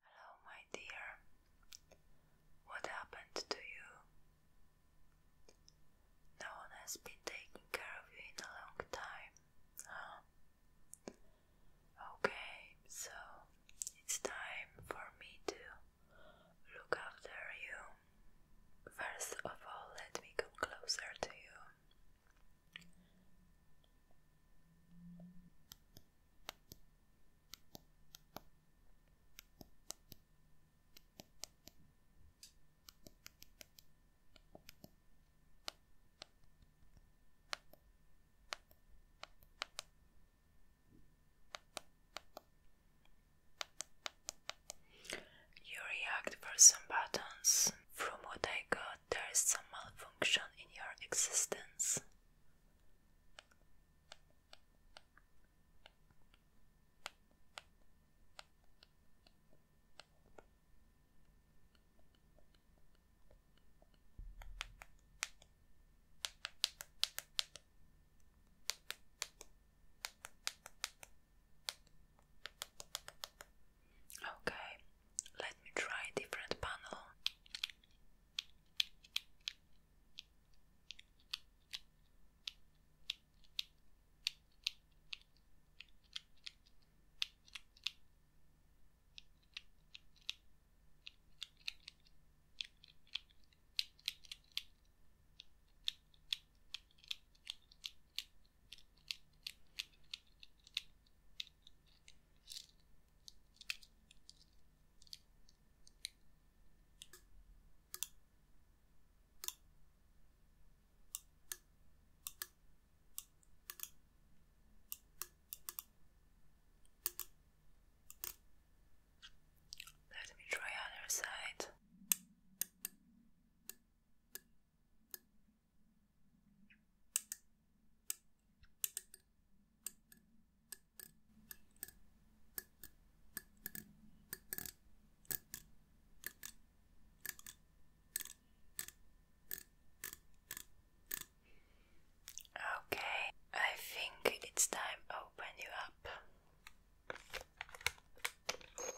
Hello, my dear. What happened to you? No one has been taking care of you in a long time, Okay, so it's time for me to look after you first of all, let me come closer to you. You react for some buttons. From what I got, there is some malfunction in your existence. Okay, let me try a different panel. Let me try other side. Okay, I think it's time to open you up.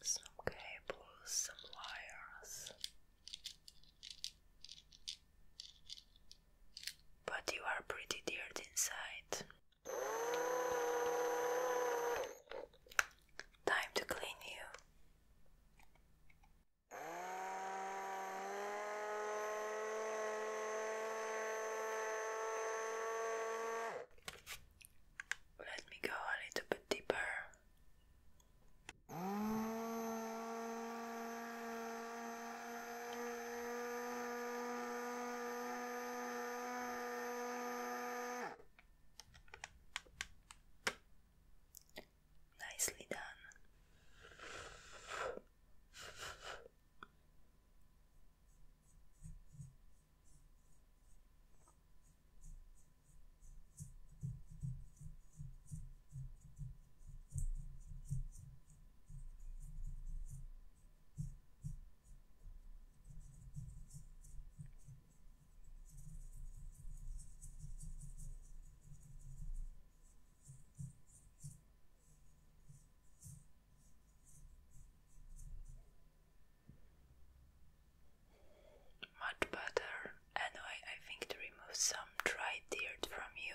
Some cables, some wires. But you are pretty dirty inside. Time to clean you. Let me go a little bit deeper. Nicely done. Much better. Anyway, I think to remove some dry dirt from you.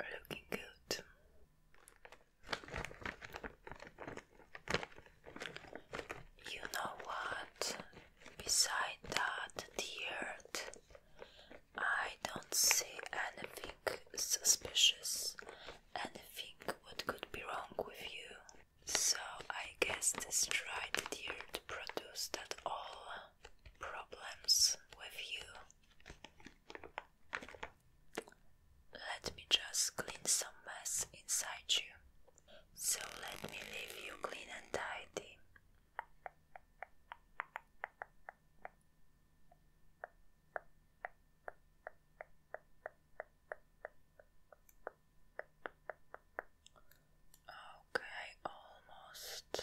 Looking good. You know what? Beside that, the I don't see anything suspicious, anything what could be wrong with you. So I guess this dried earth produced that all problems with you. Let me just clean some mess inside you. So let me leave you clean and tidy. Okay, almost.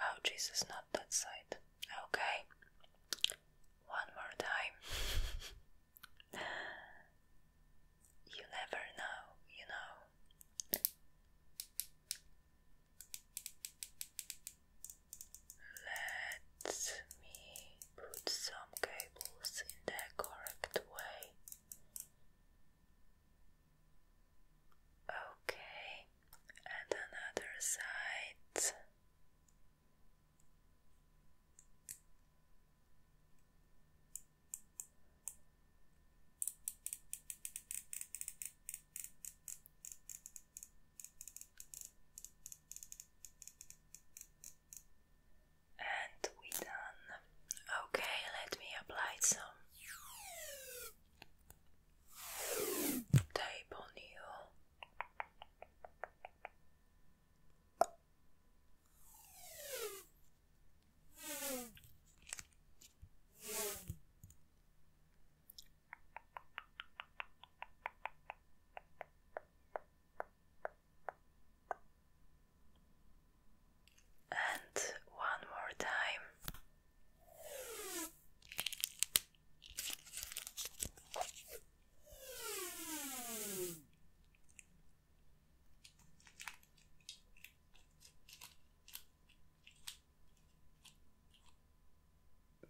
Oh, Jesus, not that side. Okay, one more time. You never know, you know. Let me put some cables in the correct way. Okay, and another side. And we done. Okay, let me apply some tape on you. And one more time.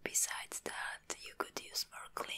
Besides that, you could use more cleaning.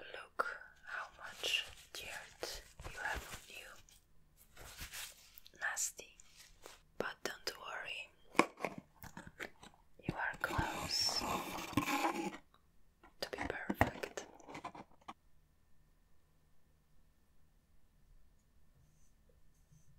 Look how much dirt you have on you. Nasty. But don't worry, you are close to be perfect.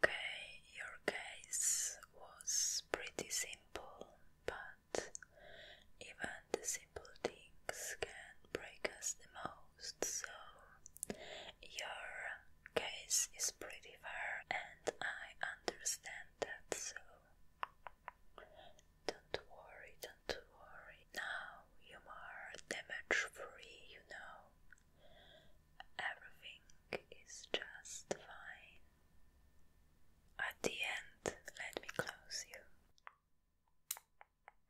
Okay, your case was pretty simple, but even the simple things can break us the most so your case is pretty far, and I understand that, so don't worry, don't worry. Now you are damage free, you know. Everything is just fine. At the end, let me close you.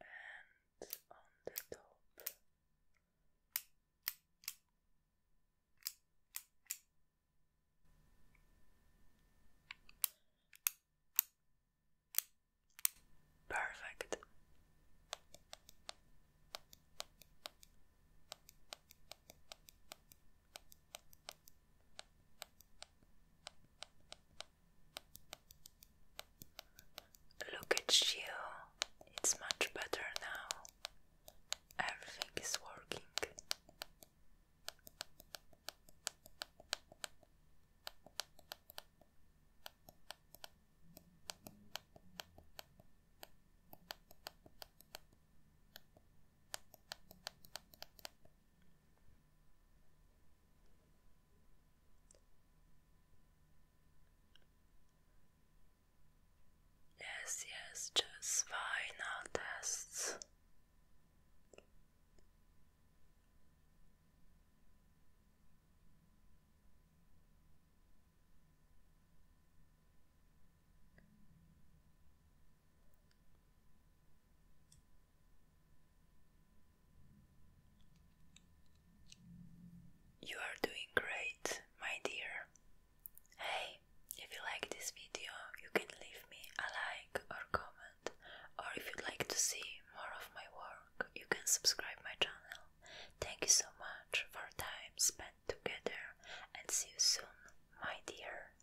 and on the top. Perfect. Look at you, it's much better now. Everything is working. Yes, yes, just final tests. You are doing great, my dear. Hey, if you like this video, you can leave me a like or comment, or if you'd like to see more of my work, you can subscribe my channel. Thank you so much for time spent together and see you soon, my dear.